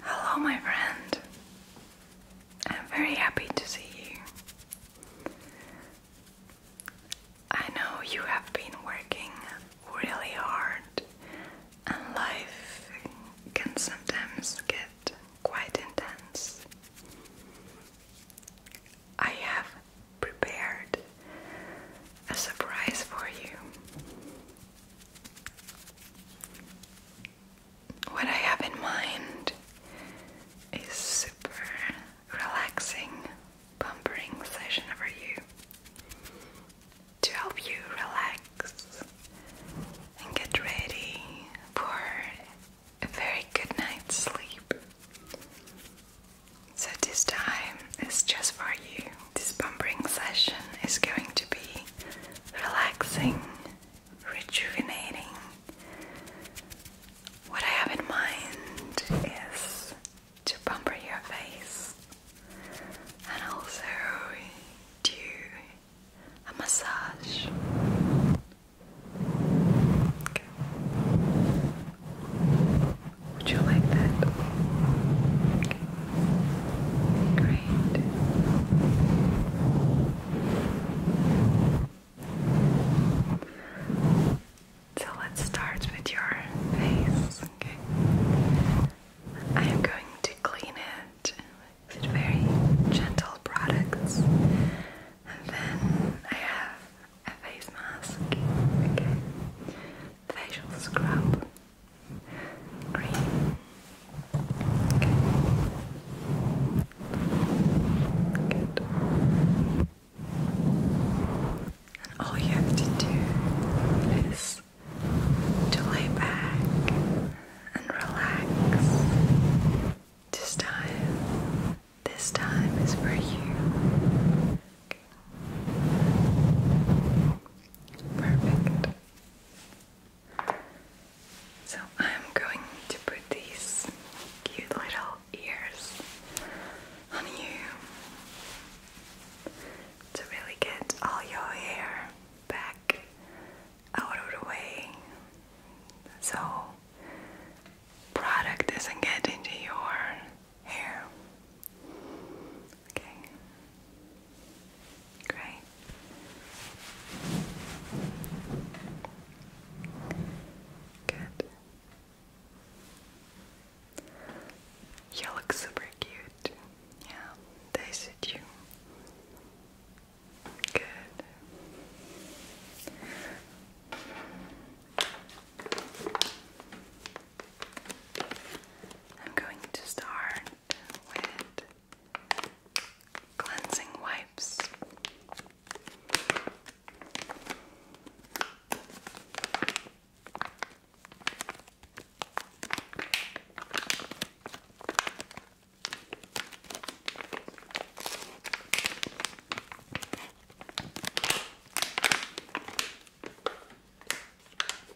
Hello, my friend. I'm very happy to see you. I know you have been working really hard, and life can sometimes get quite intense. I have prepared a surprise for you what I have in mind is super relaxing pampering session for you to help you relax and get ready for a very good night's sleep. So this time is just for you. This pampering session is going to be relaxing, rejuvenating. What I have in mind is to pamper your face and also do a massage. Would you like that? So let's start with your face, okay? I am going to clean it with very gentle products, and then I have a face mask, okay? Facial scrub all you have to do is to lay back and relax. This time, this time is for you. Perfect. So I'm going to put these cute little ears on you to really get all your hair back out of the way so product doesn't get into your hair Okay. Great. Good. You look super cute. Yeah, they suit you. Good. I'm going to start with cleansing wipes.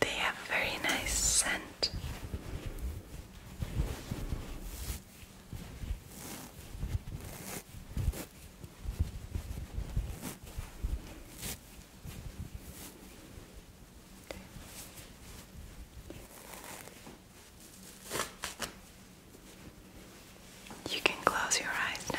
They have a very nice scent. You can close your eyes now.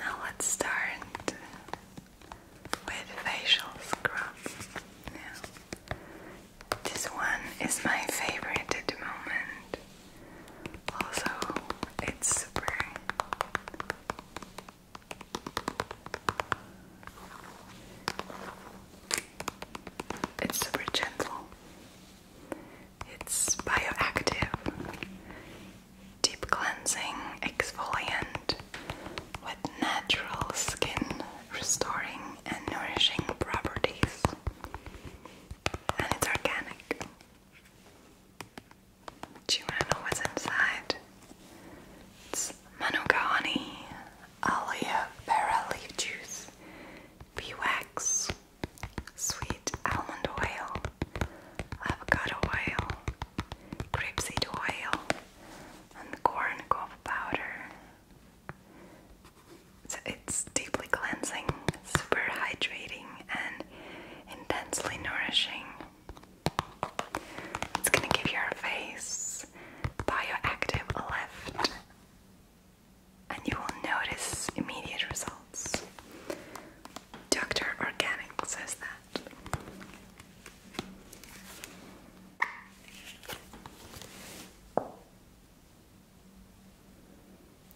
Now let's start with facial scrub. this one is my favorite at the moment. Also, it's super it's super gentle. It's bioactive, deep cleansing, exfoliant with natural skin restoring and nourishing properties. And it's organic. Do you want to know what's inside? It's manuka honey, aloe vera leaf juice, bee wax, sweet almond oil, avocado oil, grapeseed oil, and corn cob powder. So it's deeply cleansing, super hydrating, and intensely nourishing. It's going to give your face bioactive lift, and you will notice immediate results. Dr. Organic says that.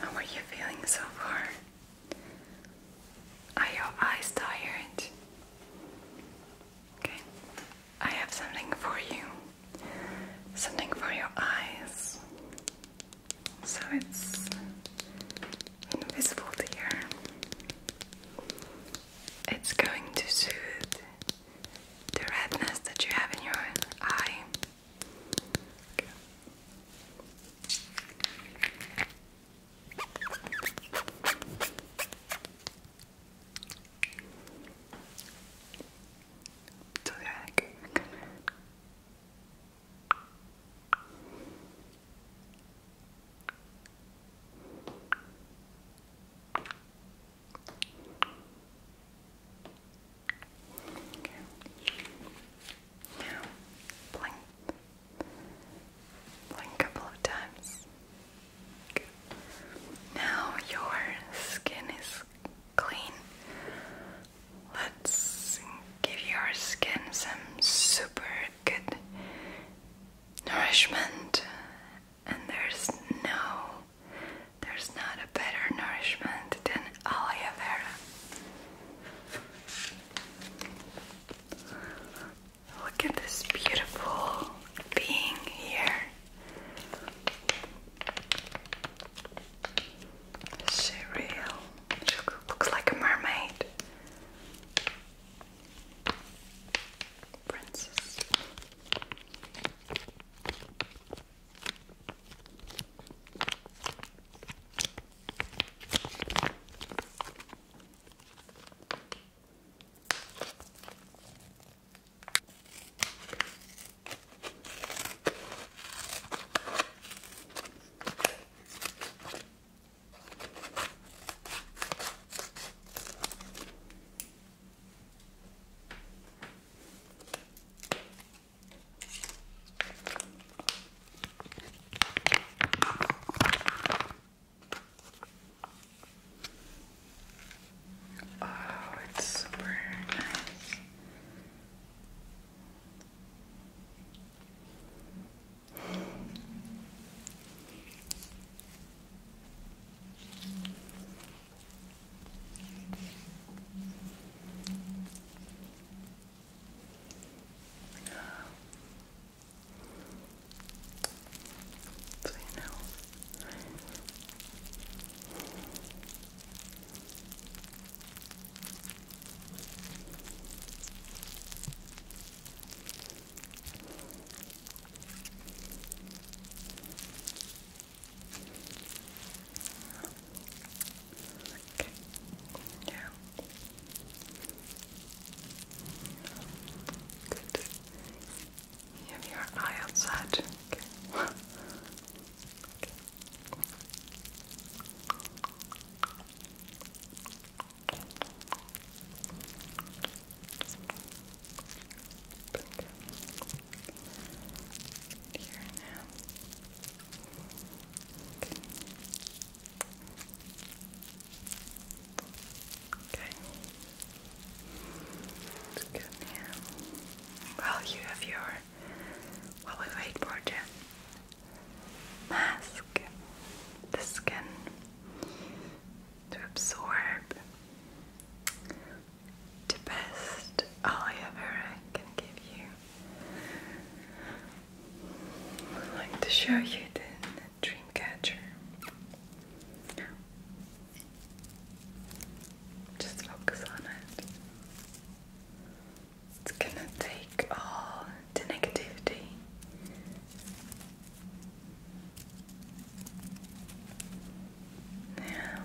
How are you feeling so far? Are your eyes tired? Okay, I have something for you. Something for your eyes so it's invisible to It's going to soothe the redness that you have in your eye. Okay. Tutarak. Okay. Now, blink. Blink a couple of times. Good. Now your skin is clean. Let's give your skin some super good nourishment, and there's no, there's not a better nourishment than aloe vera. Look at this beautiful being here. She real. She looks like a mermaid. Princess. Oh, it's super nice. So you know. Okay. Yeah. Good. You your eye outside. Okay. okay. Here and now. Okay. okay. It's good Well, you have your while we wait for the mask, the skin to absorb the best aloe vera can give you. i would like to show you the dream catcher. Just focus on it. It's gonna take all the negativity. Now,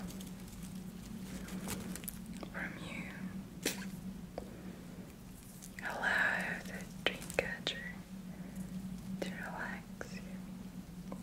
from you, allow the dream catcher to relax you.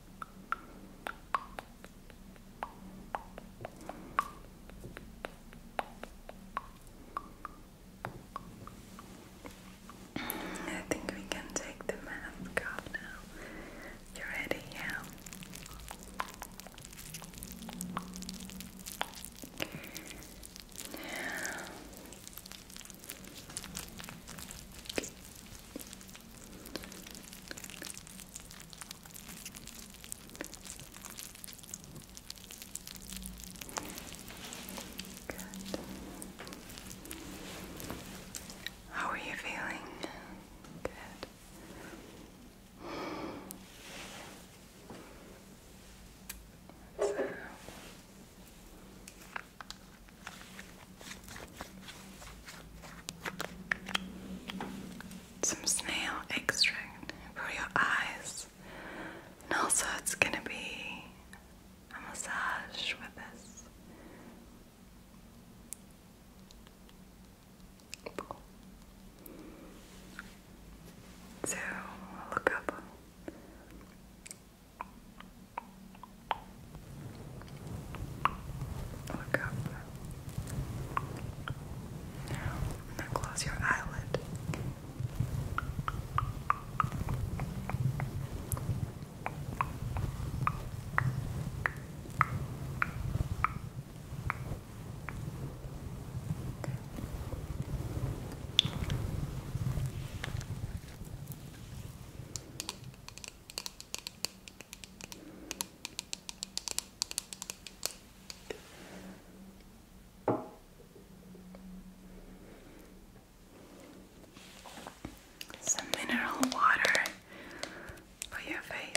I think we can take the mask off now. You ready? Yeah. Good. How are you feeling? Good. So. Some snail extract for your eyes. And also, it's gonna be a massage with this. So, look up. Look up. Now, close your eyelid. Some mineral water for your face.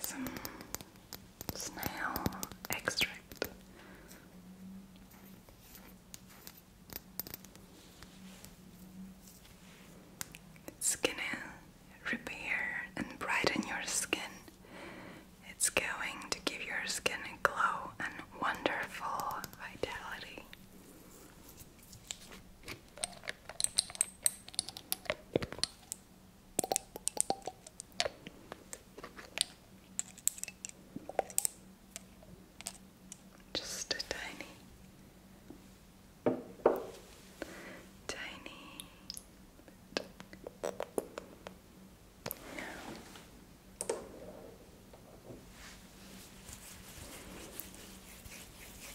some snail extract. It's gonna repair and brighten your skin. It's going to give your skin a glow and wonderful vitality. Just a tiny, tiny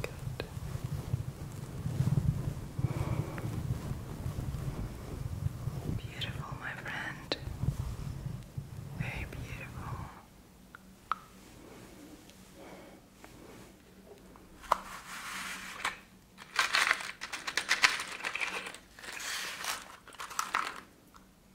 Good. Beautiful, my friend. Very beautiful.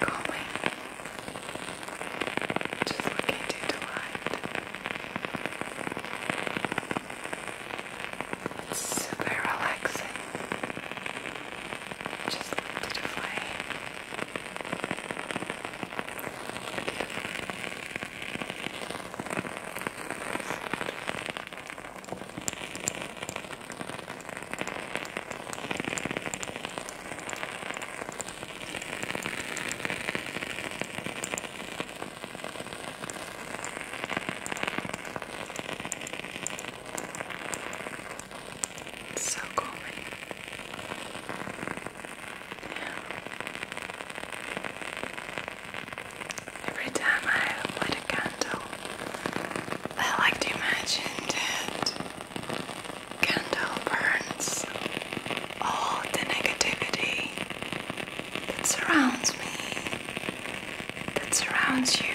calming, just look into the super relaxing. Just to the it's so calming. Every time I light a candle, I like to imagine that candle burns all the negativity that surrounds me, that surrounds you,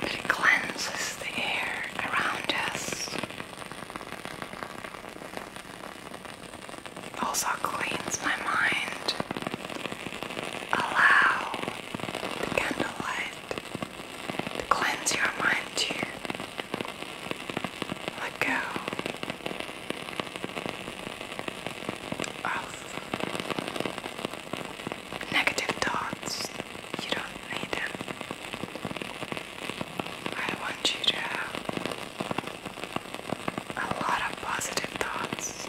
that it cleanses the air around us. Also cleans my mind. Allow candlelight to cleanse your mind, to let go of negative thoughts. You don't need them. I want you to have a lot of positive thoughts.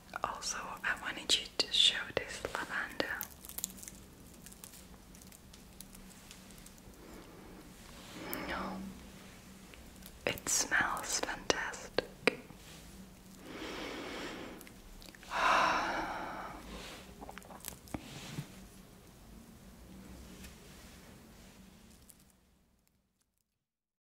Also, I wanted you to show this lavender. No, it smells fantastic.